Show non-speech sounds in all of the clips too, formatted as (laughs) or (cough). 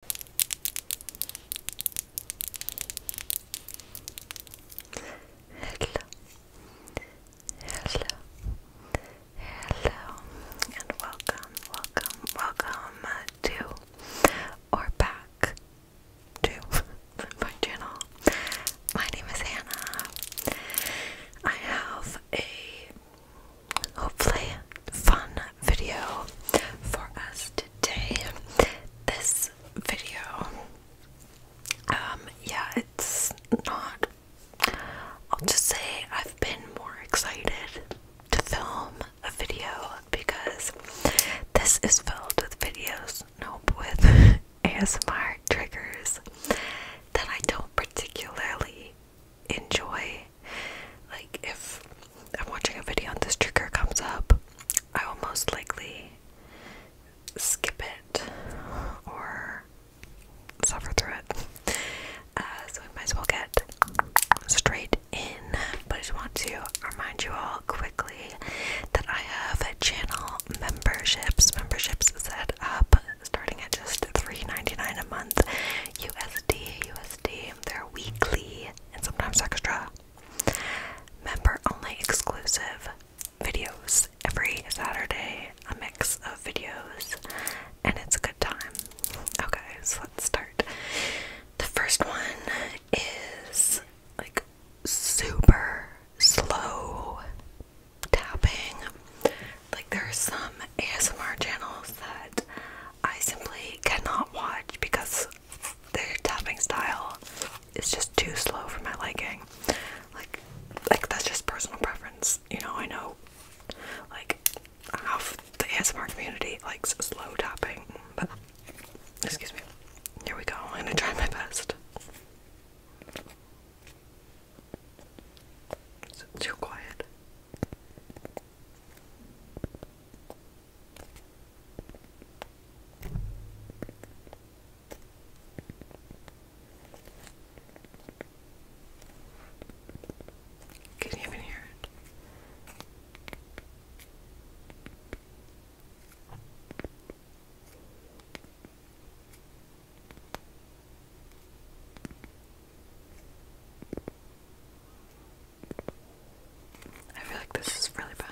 hello, hello, and welcome, welcome, welcome uh, to or back to (laughs) my channel. My name is Hannah. I have a hopefully fun video for us today. This video, um, yeah, it's not. I'll just say I've been more excited to film a video because this is filled with videos, nope, with ASMR (laughs) triggers that I don't particularly enjoy. Like, if I'm watching a video and this trigger comes up, I will most likely skip it or suffer through it. Uh, so, we might as well get straight in. But I just want to remind you all quickly that I have channel memberships, memberships set up starting at just $3.99 a month. US. USD, they're weekly and sometimes extra. Member only exclusive videos every Saturday, a mix of videos, and it's a good time. Okay, so let's start. The first one is like super slow tapping. Like, there are some ASMR channels that I simply cannot watch because their tapping style is just too slow for my liking. Like, like that's just personal preference. You know, I know, like half the ASMR community likes slow tapping, but excuse me. Here we go. I'm gonna try my best. too quiet. Can you even hear it? I feel like this is really bad.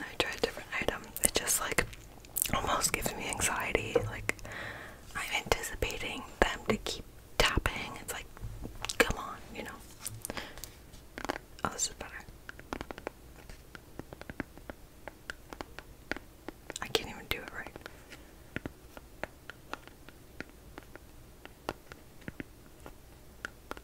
I try a different item. It just like almost gives me anxiety. Like I'm anticipating them to keep tapping. It's like, come on, you know. Oh, this is better. I can't even do it right.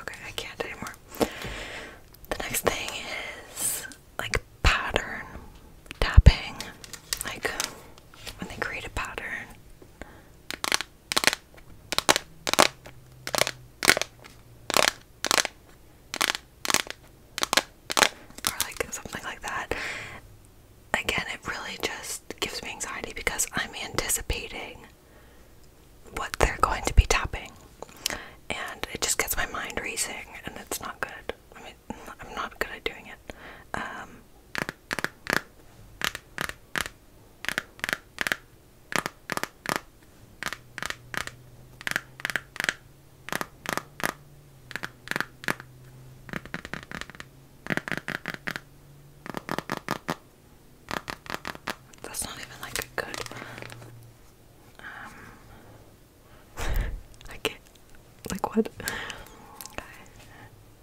Okay, I can't anymore. The next thing is like pattern tapping. Like when they create a pattern or like something like that. Again, it really just gives me anxiety because I'm anticipating what they're going to be tapping, and it just gets my mind racing, and it's not good. I mean, I'm not good at doing it. Um, that's not even like a good um (laughs) I like what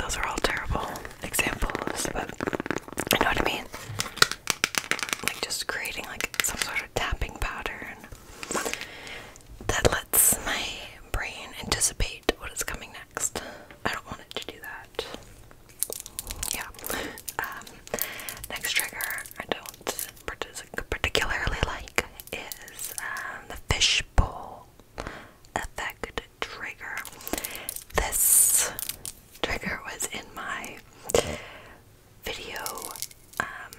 Those are all terrible examples, but you know what I mean? Like just creating like some sort of tapping pattern that lets my brain anticipate what is coming next. I don't want it to do that. Yeah. Um, next trigger I don't particularly like is um, the fishbowl effect trigger. This trigger was in my video um,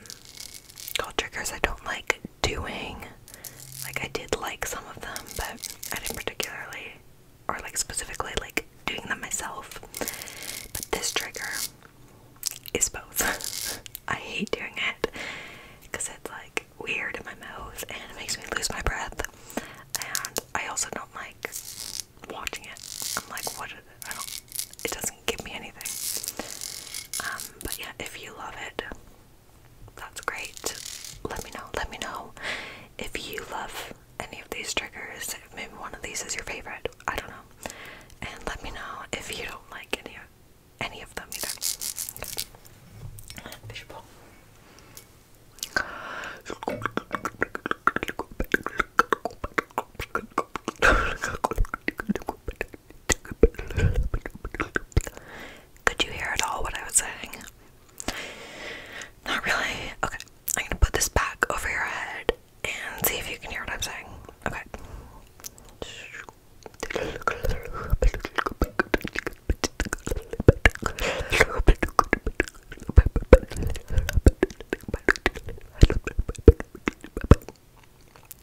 called triggers I don't like doing. Like, I did like some of them, but I didn't particularly, or like specifically, like doing them myself. But this trigger is both. (laughs) I hate doing it because it's like weird in my mouth and it makes me lose my breath. And I also don't like watching it, I'm like, what? I don't. It doesn't give me anything. Um, but yeah, if you love it, that's great. Let me know. Let me know if you love any of these triggers. maybe one of these is your favorite. I don't know. And let me know if you don't like any of any of them either. Fishbowl. (laughs) Could you hear at all what I was saying? Not really. Okay, I'm gonna put this back over your head and see if you can hear what I'm saying. Okay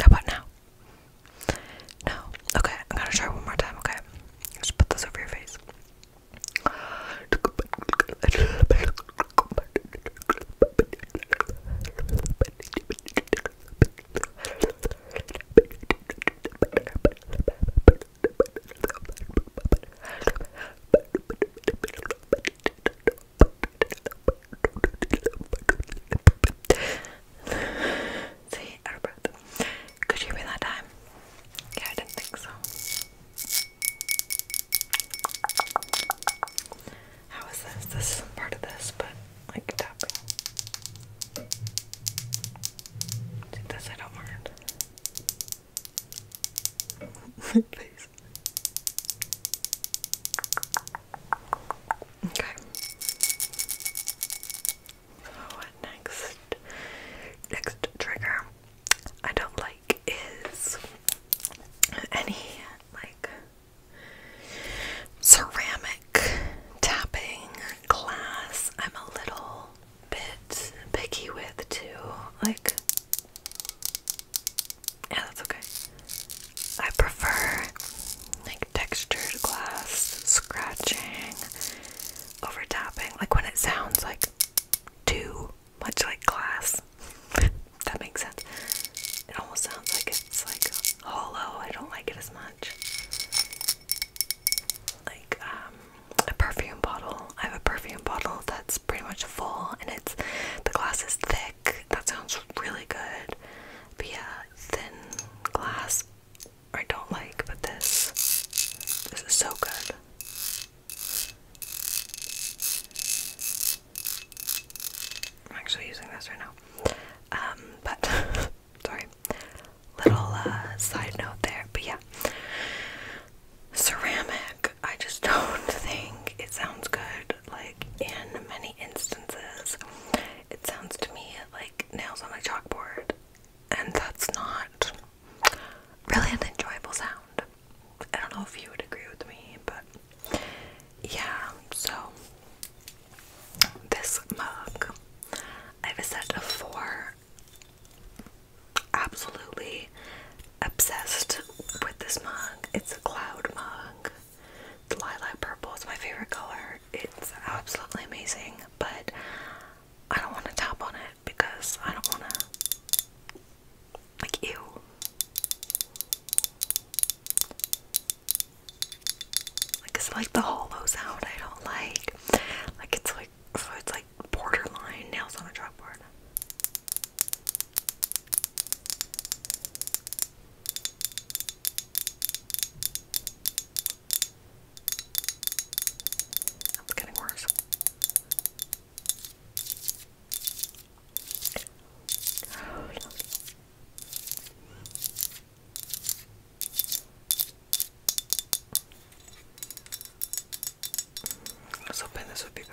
about now? No. Okay, I'm gonna try one more time, okay? Just put this over your face. See, out of breath. Could you be that time? Yeah, I didn't think so. How is this? This is part of this, but like tapping. See, this I don't mind my face. Okay. what next? Next trigger I don't like is any like ceramic tapping glass. I'm a little bit picky with too. Like yeah, that's okay. I prefer like textured glass scratching over tapping, like when it sounds like too much like glass. (laughs) that makes sense. It almost sounds like it's like hollow. I don't like it as much. Like um, a perfume bottle I have a perfume bottle that's pretty much full and it's the glass is thick. That sounds really good. But yeah, thin glass I don't like, but this this is so good. I'm actually using this right now. Um, but (laughs) sorry. Little uh, side note there, but yeah ceramic. I just (laughs) don't think it sounds good. Like in many instances, it sounds to me like nails on a chalkboard, and that's not really an enjoyable sound. I don't know if you would agree with me, but yeah, so this mug. I have a set of four absolutely obsessed with this mug. It's a cloud mug. The lilac purple is my favorite color. It's absolutely amazing, but I don't want to tap on it because I don't want to. Like, ew. Like, it's like the hollow sound I don't like. Like, it's like, so it's borderline nails on a chalkboard. That's getting worse. I was hoping this would be better.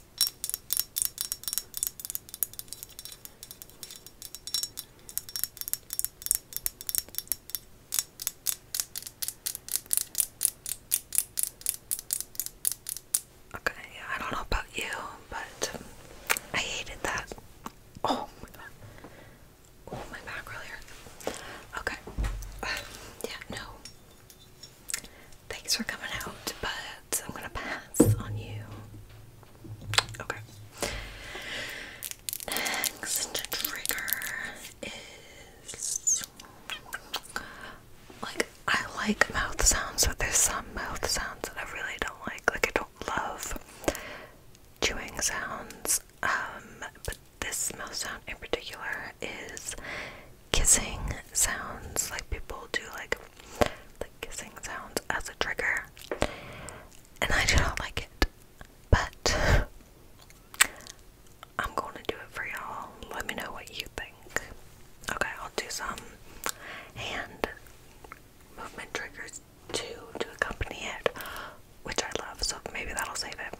Okay, I don't know about you, but um, I hated that. Oh my god. Oh, my back really Okay. (sighs) yeah, no. Thanks for coming out, but I'm gonna pass on you. Okay. Next trigger is like I like mouth sounds, but there's some mouth sounds that I really don't like. Like I don't love chewing sounds. Um, but this mouth sound in particular is kissing sounds. Like people do like the kissing sounds as a trigger. And I do not like it. But (laughs) I'm gonna do it for y'all. Let me know what you think. Okay, I'll do some hand movement triggers too to accompany it, which I love, so maybe that'll save it.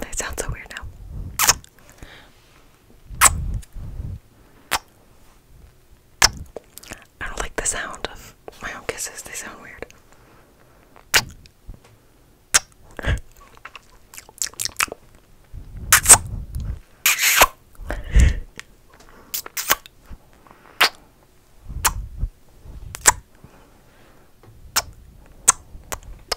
That sounds so weird now. I don't like the sound of my kisses, they sound weird.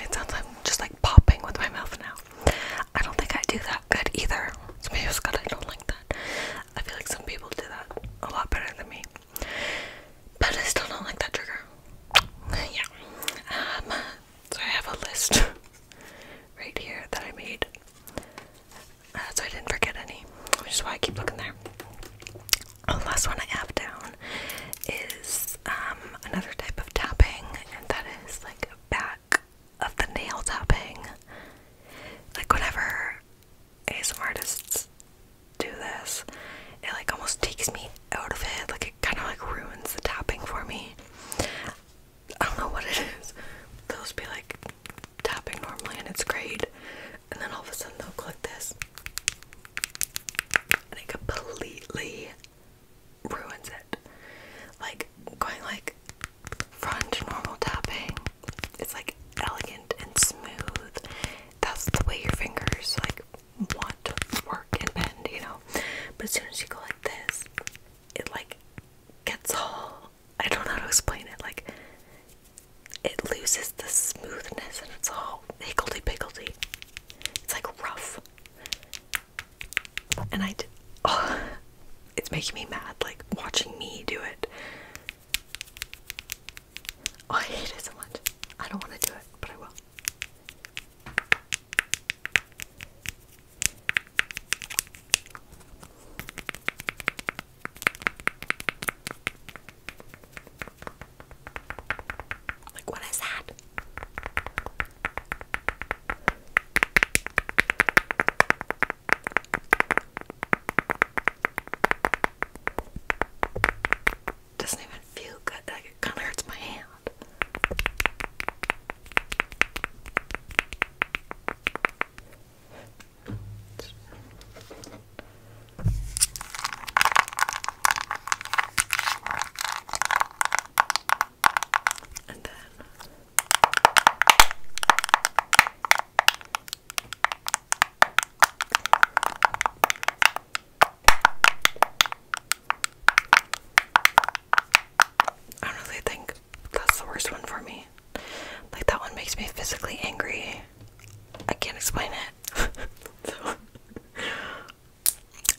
It sounds like I'm just like popping with my mouth now. I don't think I do that good either. So maybe it's good I don't like that. I feel like some people do that a lot better than me. But I still don't like that trigger. Yeah. Um, so I have a list (laughs) right here that I made. Uh, so I didn't forget any, which is why I keep looking there. last one I have down is um, another type of tapping, and that is like back of the nail tapping. Like whenever ASM artists do this, it like almost takes me out of it. Like it kind of like ruins the tapping for me. I don't know what it Those be like tapping normally and it's great. And then all of a sudden they'll click this. And it completely ruins it. Like going like front normal tapping, it's like elegant and smooth. That's the way your fingers like want to work and bend, you know. But as soon as you go like this, it like gets all I don't know how to explain it, like it loses the smoothness and it's all higgledy piggledy. It's like rough and I did. (laughs) it's making me mad, like watching me do it. Oh, I hate it so much. I don't want to do it, but I will. Like, what is that? Doesn't even feel good. Like it kind of hurts my hand. And then I really think that's the worst one for me. Like that one makes me physically angry. I can't explain it. (laughs)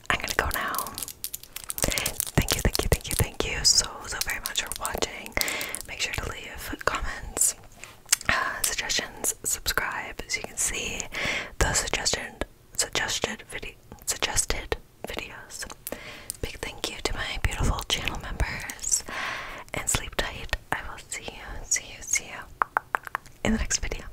I'm gonna go now. Thank you, thank you, thank you, thank you so, so very much for watching. Make sure to leave comments, uh, suggestions, subscribe. As you can see, the suggestion, suggested video, suggested videos. Big thank you to my beautiful channel members. And sleep tight. I will see you, see you, see you in the next video.